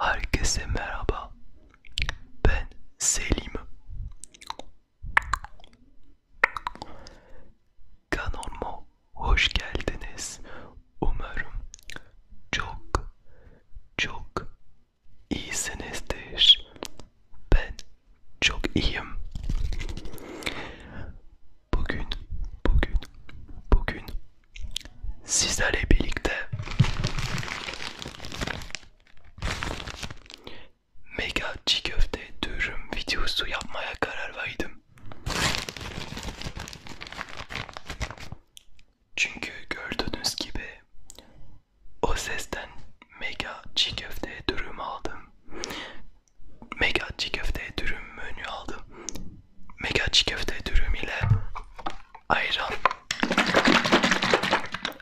Herkese merhaba. Ben Selim. Kanalıma hoş geldiniz. Umarım çok çok iyisinizdir. Ben çok iyiyim. Bugün, bugün, bugün sizlerle birlikte mega çiğ köfte dürüm videosu yapmaya karar verdim. Çünkü gördüğünüz gibi o sesten mega çiğ köfte dürüm aldım. Mega çiğ köfte dürüm menü aldım. Mega çiğ köfte dürüm ile ayran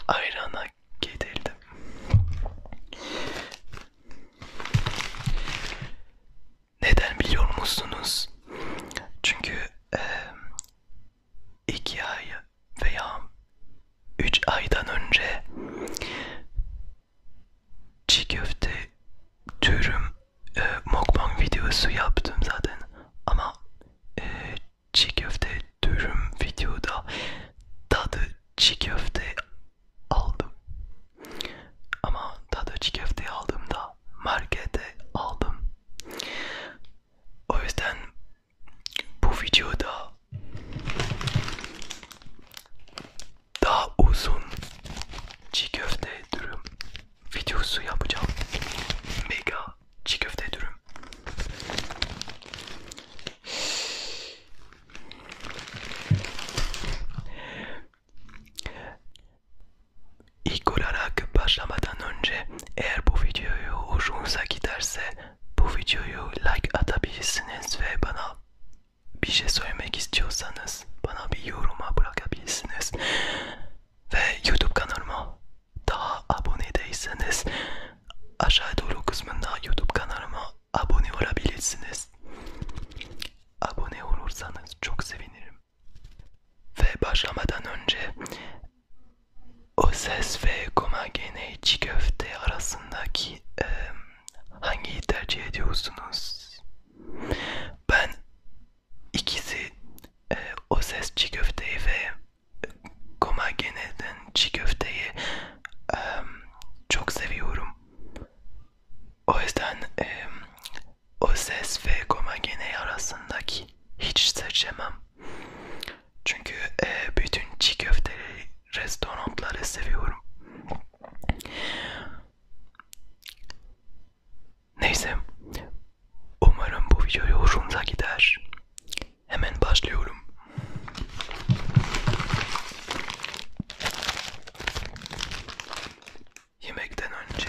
ayrana getirdim. Neden biliyor musunuz? Çünkü e, 2 ay veya 3 aydan önce çiğ köfte türüm e, mukbang videosu yaptım zaten ama e, çiğ köfte türüm videoda tadı çiğ köfte aldım ama tadı çiğ köfte aldığımda markete aldım o yüzden bu videoda daha uzun çiğ köfte dürüm videosu yapacağım. Mega çiğ köfte dürüm. İlk olarak başlamadan önce eğer bu videoyu hoşunuza giderse bu videoyu like atabilirsiniz ve bana bir şey söylemek istiyorsanız bana bir yoruma bırakabilirsiniz. Ve YouTube kanalıma daha abone değilseniz aşağı doğru kısmında YouTube kanalıma abone olabilirsiniz. Abone olursanız çok sevinirim. Ve başlamadan önce o ses ve komagene içi köfte arasındaki e, hangiyi tercih ediyorsunuz? Ben ikisi e, o ses çiğ köfteyi ve komageneden çiğ köfteyi e, çok seviyorum. O yüzden e, o ses ve gomagene arasındaki hiç seçemem. Çünkü e, bütün çiğ köfteleri, restoranları seviyorum. Neyse, umarım bu video hoşunuza gider. Hemen başlıyorum. Yemekten önce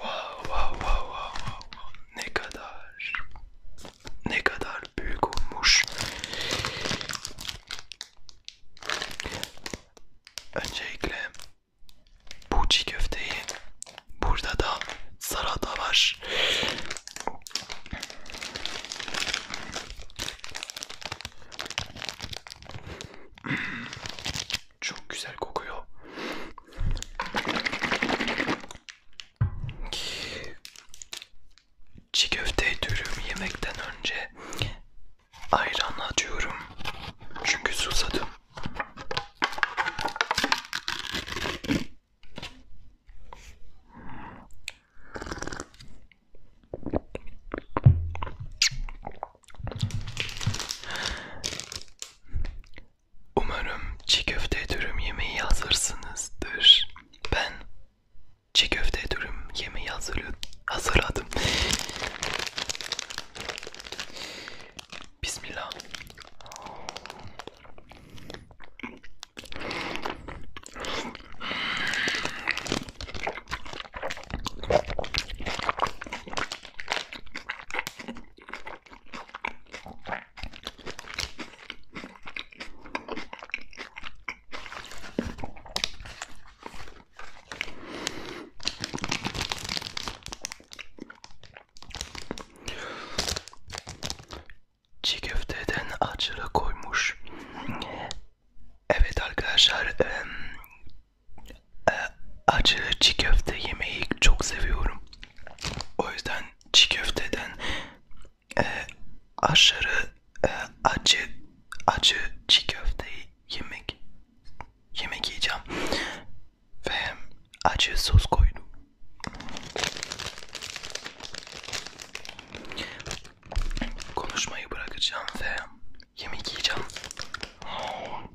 Wow, wow, wow, wow, wow. Ne kadar ne kadar büyük olmuş. Öncelikle bu çiğ köfteyi burada da salata var. Çok güzel kokuyor. Çiğ köfte dürüm yemekten önce ayran atıyorum çünkü susadım. Umarım çiğ köfte dürüm yemeği hazırsınızdır. Ben çiğ köfte dürüm yemeği hazırladım. Bismillah. Çiğ köfteden açıra koymuş. Evet arkadaşlar acı çiğ köfte yemeyi çok seviyorum. O yüzden çiğ köfteden e, aşırı e, acı acı çiğ köfteyi yemek yemek yiyeceğim ve acı sos koydum. Konuşmayı bırakacağım ve yemek yiyeceğim.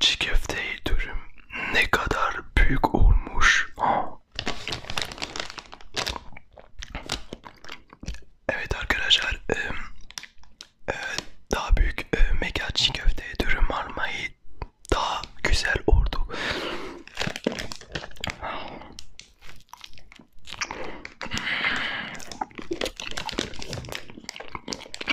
Çiğ köfte dürüm ne kadar büyük olmuş. Evet arkadaşlar e, daha büyük e, mekan çiğ köfte dürüm almayı daha güzel oldu.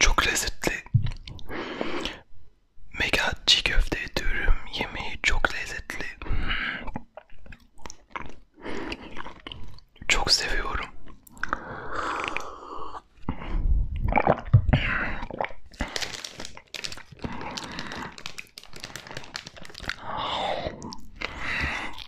Çok lezzetli. Mega çiğ köfte dürüm yemeği çok lezzetli. Çok seviyorum.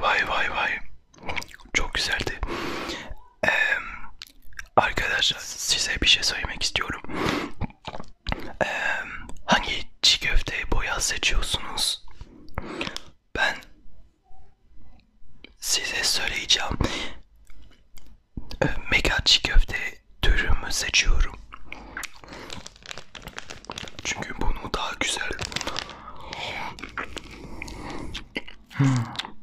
Vay vay vay. Çok güzeldi. Ee, arkadaşlar size bir şey söylemek istiyorum. Ee, hangi çiğ köfteyi boya seçiyorsunuz? Ben size söyleyeceğim. Ee, mega çiğ köfte türümü seçiyorum. Çünkü bunu daha güzel. Hmm.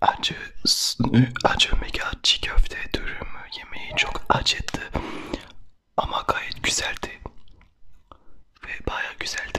Acı, acı mega çiğ köfte dürümü yemeği çok acıttı ama gayet güzeldi ve baya güzeldi.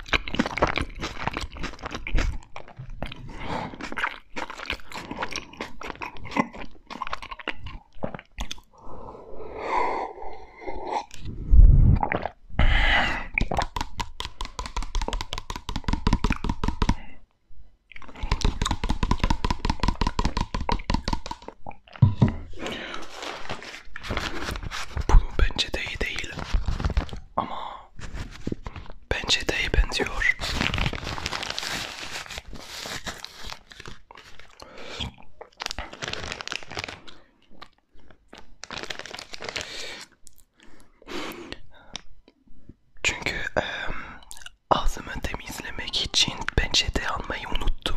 Bunu bence de iyi değil ama Bence de iyi benziyor. Çünkü e, ağzımı temizlemek için peçete almayı unuttum.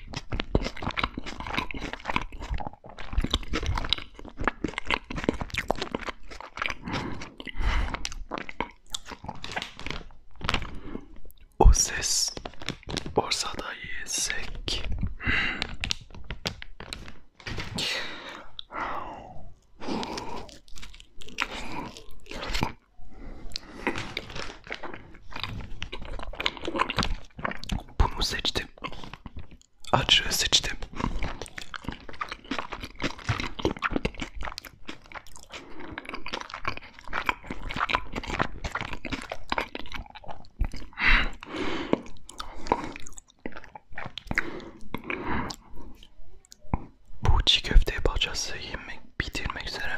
O ses borsada yesek. Bunu seçtim. Acı seçtim. Bu çiğ köfte parçası yemek bitirmek üzere.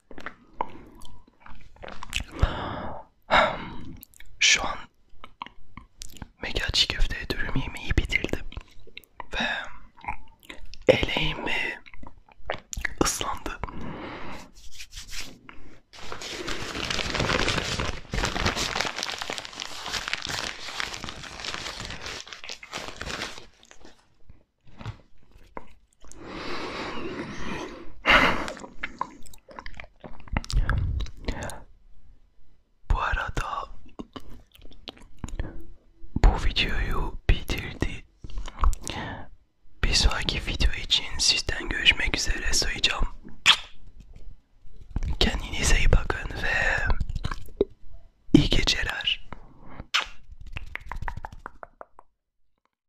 Şu an mega çiğ köfte dürüm yemeği bitirdim ve eleğim ıslandı. Bu arada bu videoyu bitirdi. Bir sonraki video için sizden görüşmek üzere sayacağım. Kendinize iyi bakın ve iyi geceler.